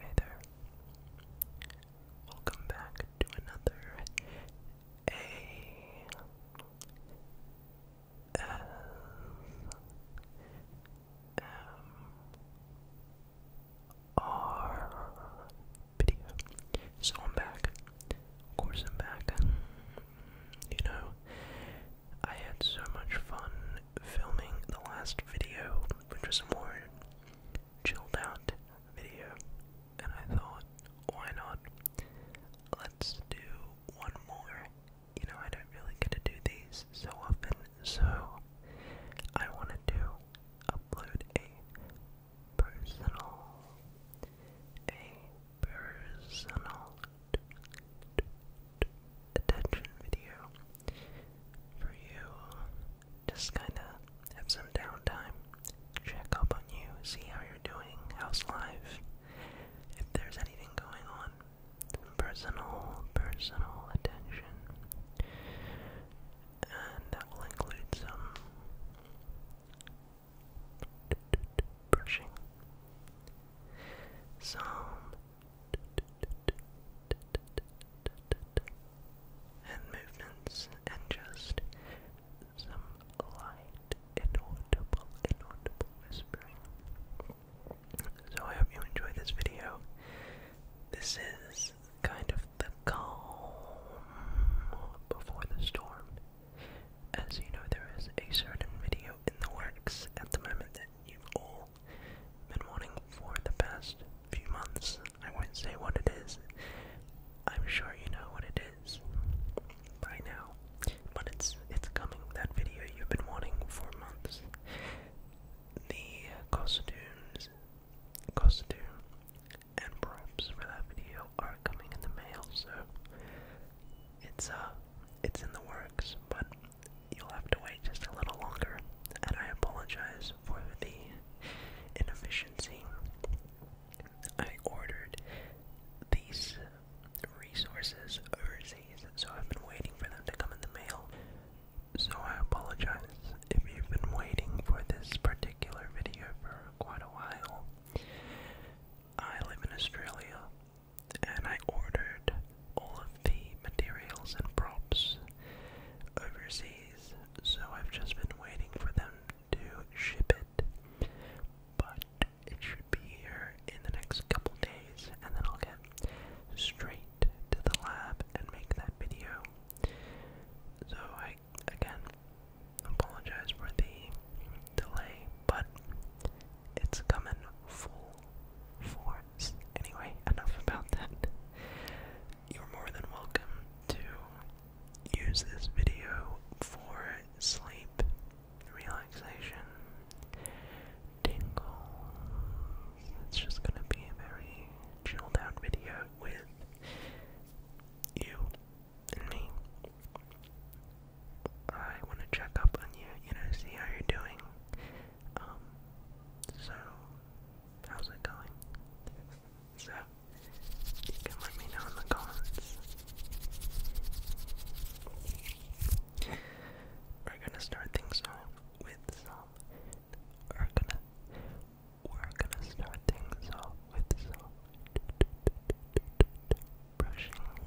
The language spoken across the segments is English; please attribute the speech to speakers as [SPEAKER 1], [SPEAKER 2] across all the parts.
[SPEAKER 1] Hey there. Welcome back to another A S M R video. So I'm back. Of course I'm back. You know, I had so much fun filming the last video, which was more Chill out video, and I thought, why not? Let's do one more. You know, I don't really get to do these so often, so I wanted to upload a personal, a personal attention video for you just kind of have some downtime, check up on you, see how you're doing, house life, if there's anything going on, personal, personal attention, and that will include some brushing, some and movements and just some light inaudible inaudible whispering. So I hope you enjoy this video. This is kind of the calm before the storm. As you know, there is a certain video in the works at the moment that you all been wanting for the past few months. I won't say what it is. I'm sure you know what it is by now. But it's it's coming, that video you've been wanting for months. The costumes costume and props for that video are coming in the mail, so it's uh it's in the works, but you'll have to wait just a little longer, and I apologize for the inefficiency. I ordered these resources overseas, so I've been waiting for them to come in the mail. So I apologize if you've been waiting for this particular video for quite a while. I live in Australia, and I ordered all of the materials and props overseas, so I've just been waiting for them to ship it. But it should be here in the next couple days, and then I'll get straight to the lab and make that video. So I again apologize for the delay, but it's coming full force. Anyway, enough about that you're more than welcome to use this video for sleep, relaxation, tingles. It's just going to be a very chilled out video with you and me. I want to check up on you, you know, see how you're doing. Um, so How's it going? So, you can let me know in the comments. We're gonna start things off with some. We're gonna. We're gonna start things off with some brushing.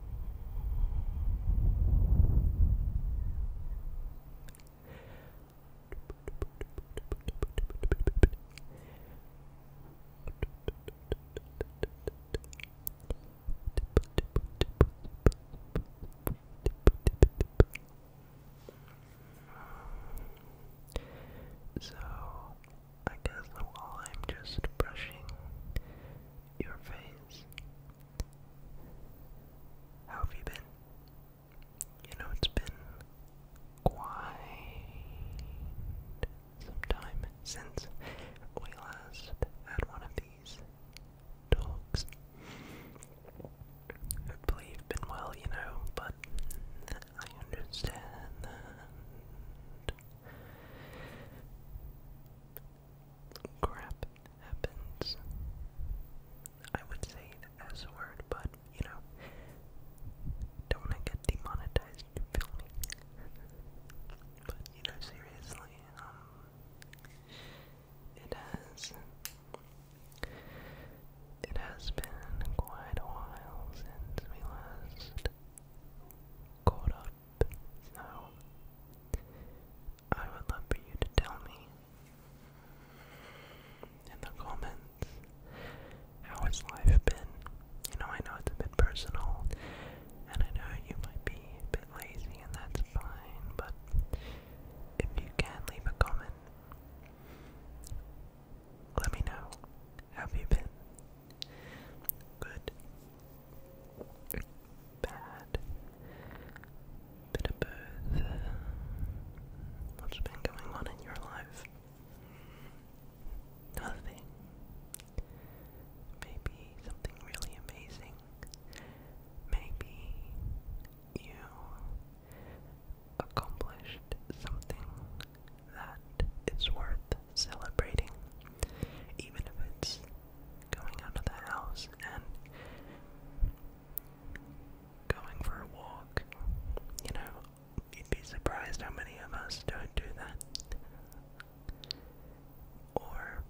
[SPEAKER 1] So, I guess while I'm just brushing your face, how have you been? You know, it's been quite some time since we last had one of these talks. Hopefully, you've been well, you know, but I understand that crap happens. I would say the S word, but you know, don't want to get demonetized, you feel me? But you know, seriously, um, it has, it has been quite a while since we last caught up so, I would love for you to tell me in the comments how has life been. You know, I know it's a bit personal, and I know you might be a bit lazy, and that's fine, but if you can leave a comment, let me know. Have you been good? bad. Bit of both. What's been going on in your life? Nothing. Maybe something really amazing. Maybe you accomplished something that it's worth celebrating, even if it's going out of the house and going for a walk. You know, you'd be surprised how many of us don't do that. Or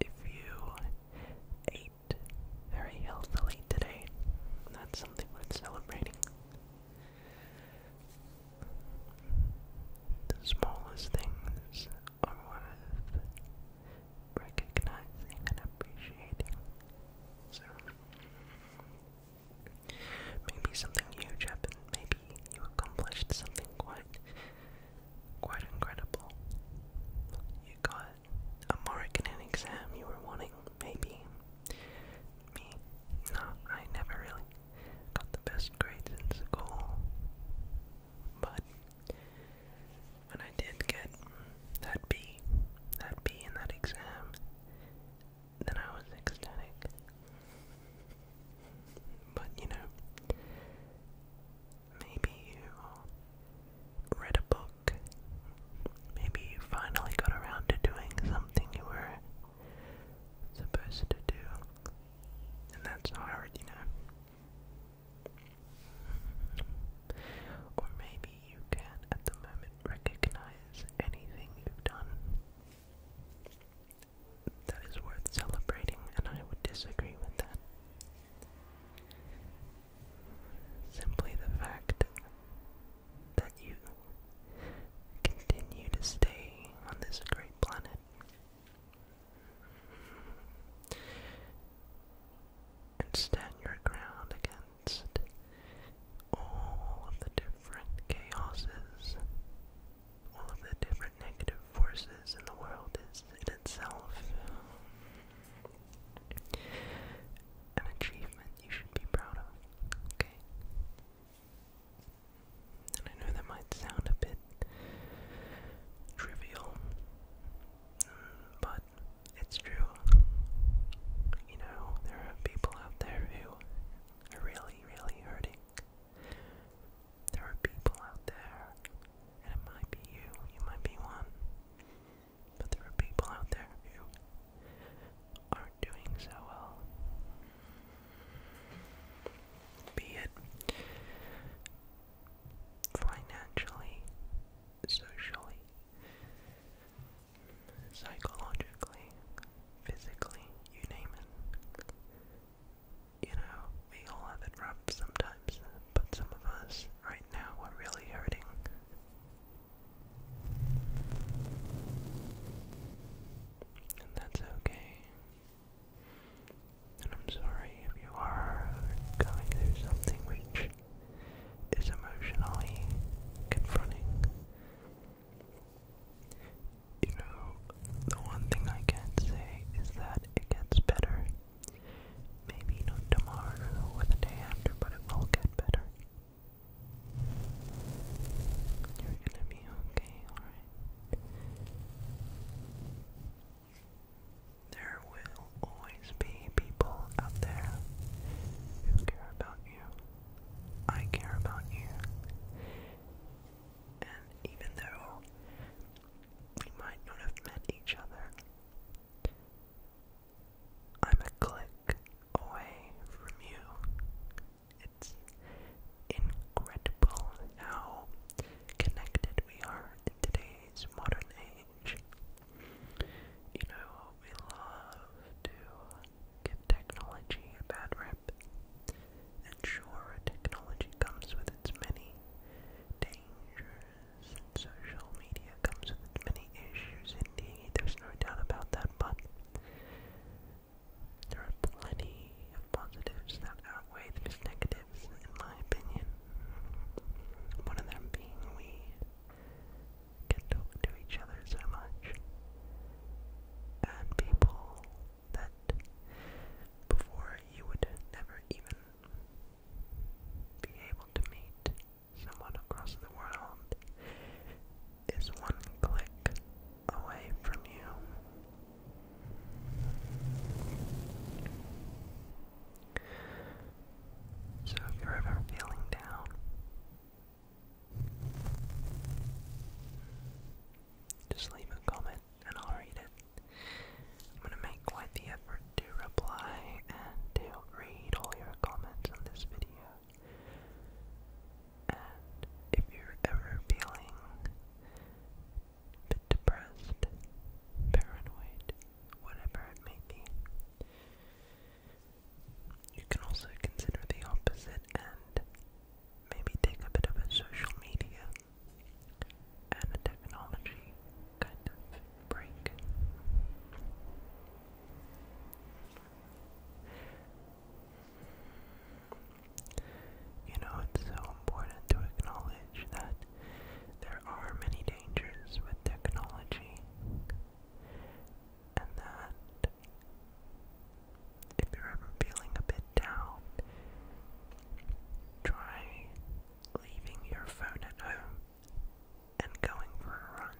[SPEAKER 1] if you ate very healthily today, that's something worth celebrating. The smallest things are worth recognizing and appreciating. So, maybe something huge happened, maybe you accomplished something quite, quite incredible. You got a mark in an exam you were wanting, maybe. Me? No, I never really got the best grades in school. But when I did get that B, that B in that exam, then I was ecstatic. But you know, maybe you read a book, maybe you finally got around to doing something you were supposed to do, and that's hard, you know. Or maybe you can at the moment recognize anything you've done that is worth celebrating, and I would disagree with that. Simply the fact that you continue to stay on this great planet and stand your ground against all of the different chaoses, all of the different negative forces in the world is in itself an achievement you should be proud of, okay? I know that might sound a bit trivial, but it's true. You know, there are people out there who are really, really hurting. There are people out there, and it might be you, you might be one, but there are people out there who aren't doing so well be it financially, socially, psychologically, physically, you name it. You know, we all have it rough sometimes, but some of us right now are really hurting. And that's okay. And I'm sorry if you are going through something which is emotionally confronting. You know, the one thing I can say is that it gets better. Maybe not tomorrow or the day after, but it will get better. You're gonna be okay, alright? There will always be people out there who care about you. I care about you. And even though we might not have met each other, I'm a click away from you. It's incredible how connected we are in today's modern age. You know, we love to give technology a bad rep. And sure, technology comes with its many dangers, social media comes with its many issues, indeed, there's no doubt about that, but there are plenty of positives that outweigh the negatives, in my opinion. One of them being we get talk to each other so much. And people that before you would never even be able to meet someone across the world is one click away from you so if you're ever feeling down, just leave a comment and I'll read it. I'm gonna make quite the effort to reply and to read all your comments on this video. And if you're ever feeling bit depressed, paranoid, whatever it may be. You can also consider the opposite and maybe take a bit of a social media and technology kind of break. You know, it's so important to acknowledge that there are many dangers with technology, and that if you're ever feeling a bit down, try leaving your phone at home and going for a run.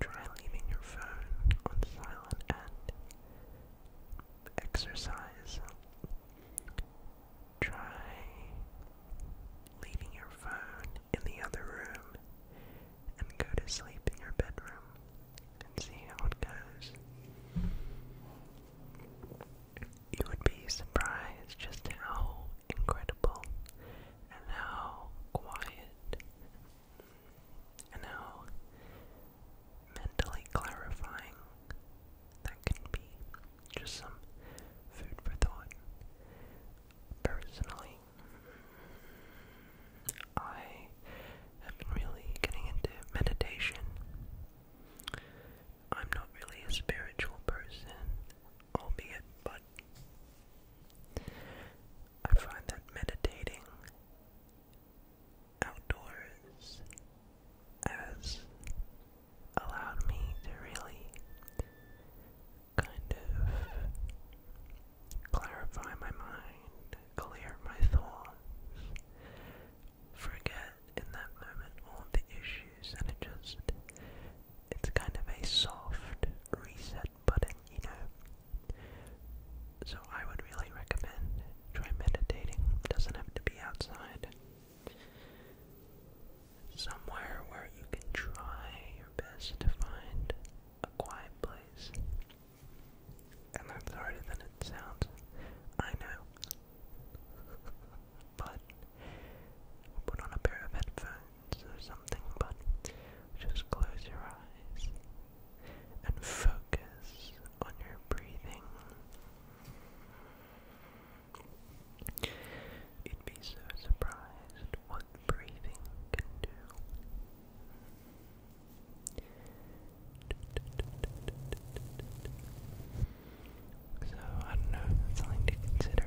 [SPEAKER 1] Try leaving your phone on silent and exercise. Try leaving your phone in the other room and go to sleep in your bedroom and see how it goes. You would be surprised just how incredible and how quiet and how mentally clarifying that can be. Just some food for thought. Personally, I have been really getting into meditation. I'm not really a spiritual person, albeit, but I find that meditating outdoors has allowed me to really kind of clarify my mind, clear my thoughts, forget in that moment all the issues, and it just it's kind of a soft reset button, you know. So I would really recommend try meditating. Doesn't have to be outside. Somewhere where you can try your best to find a quiet place. And that's harder than it sounds. I know. but put on a pair of headphones or something, but just close your eyes and focus on your breathing. You'd be so surprised what breathing can do. So, I don't know, it's something to consider.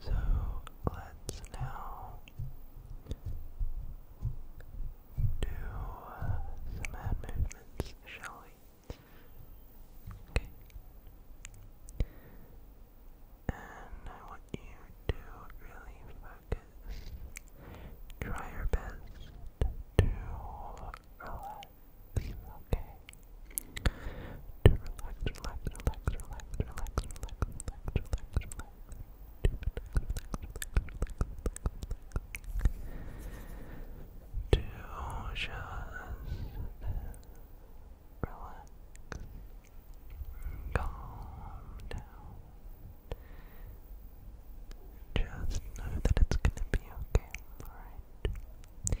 [SPEAKER 1] So let's now do some hand movements, shall Okay. And I want you to really focus. Try your best to relax, okay? To relax, relax, relax, relax, relax, relax, relax, relax, to just relax, calm down. Just know that it's gonna be okay, alright?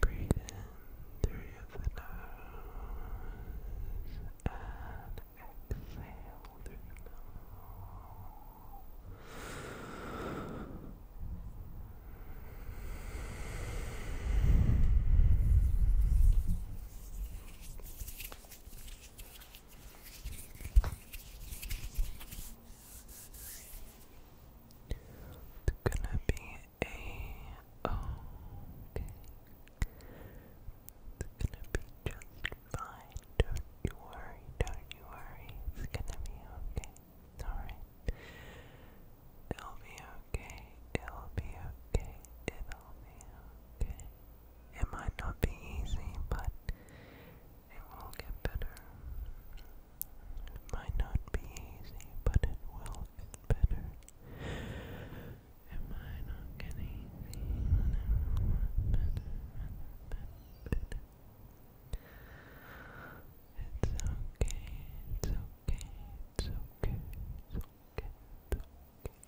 [SPEAKER 1] Breathe in through the nose and exhale through the mouth. It's gonna be a okay. It's gonna be just fine. Don't you worry, don't you worry. It's gonna be okay. Alright. It'll be okay. It'll be okay. It'll be it might not be easy, but it will get better. It might not be easy, but it will get better. It might not get easy, but it will get better, it's okay, it's okay, it's okay,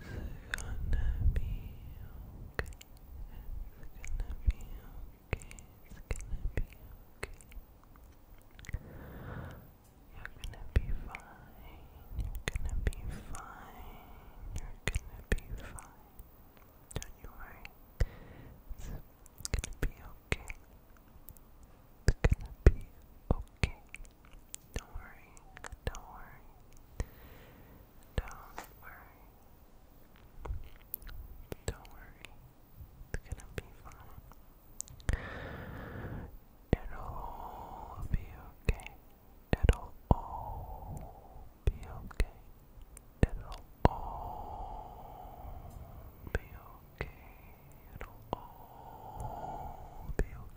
[SPEAKER 1] It's gonna be okay. It's gonna be okay. It's gonna be okay. You're gonna be fine. You're gonna be fine. You're gonna be fine. Don't you worry. It's gonna be okay. It's gonna be okay. Don't worry. Don't worry. Don't worry. Don't worry. It's gonna be fine. It'll all be okay. It'll all be okay. It'll all be okay. It'll all be okay.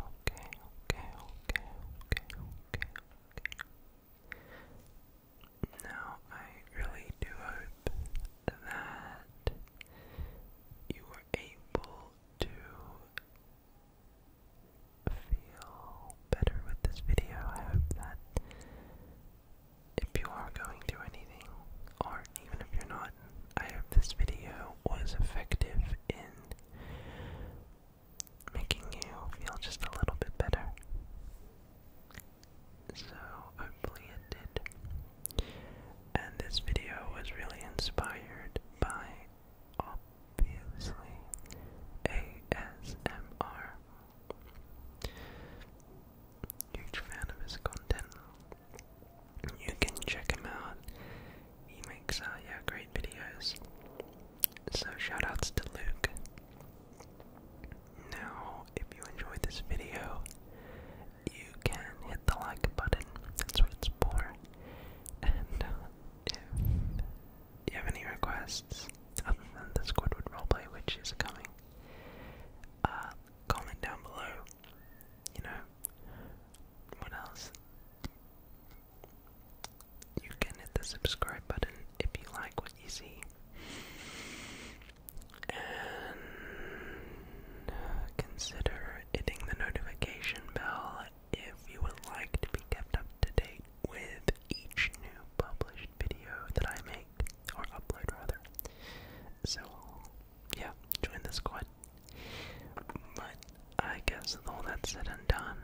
[SPEAKER 1] Okay, okay, okay, okay, okay, okay. Now, I really do hope that you were able to feel better with this video. I hope that if you are going through anything, or even if you're not, I hope this video was effective in making you feel just a little bit better. So, hopefully, it did. And this video was really inspired by obviously ASMR. Huge fan of his content. You can check him out he makes uh yeah, great videos. So shoutouts to Luke. Now, if you enjoyed this video, you can hit the like button. That's what it's for. And uh, if you have any requests other than the Squidward roleplay, which is coming, uh, comment down below. You know, what else? You can hit the subscribe button if you like what you see. And uh, consider hitting the notification bell if you would like to be kept up to date with each new published video that I make, or upload rather. So, yeah, join the squad. But I guess with all that said and done,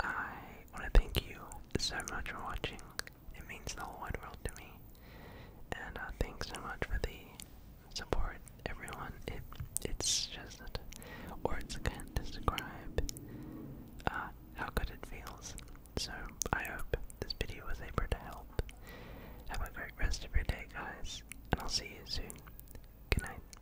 [SPEAKER 1] I want to thank you so much for watching. It means the whole wide world to me. And uh, thanks so much for the support, everyone. It It's just words can't describe uh, how good it feels. So I hope this video was able to help. Have a great rest of your day, guys. And I'll see you soon. Good night.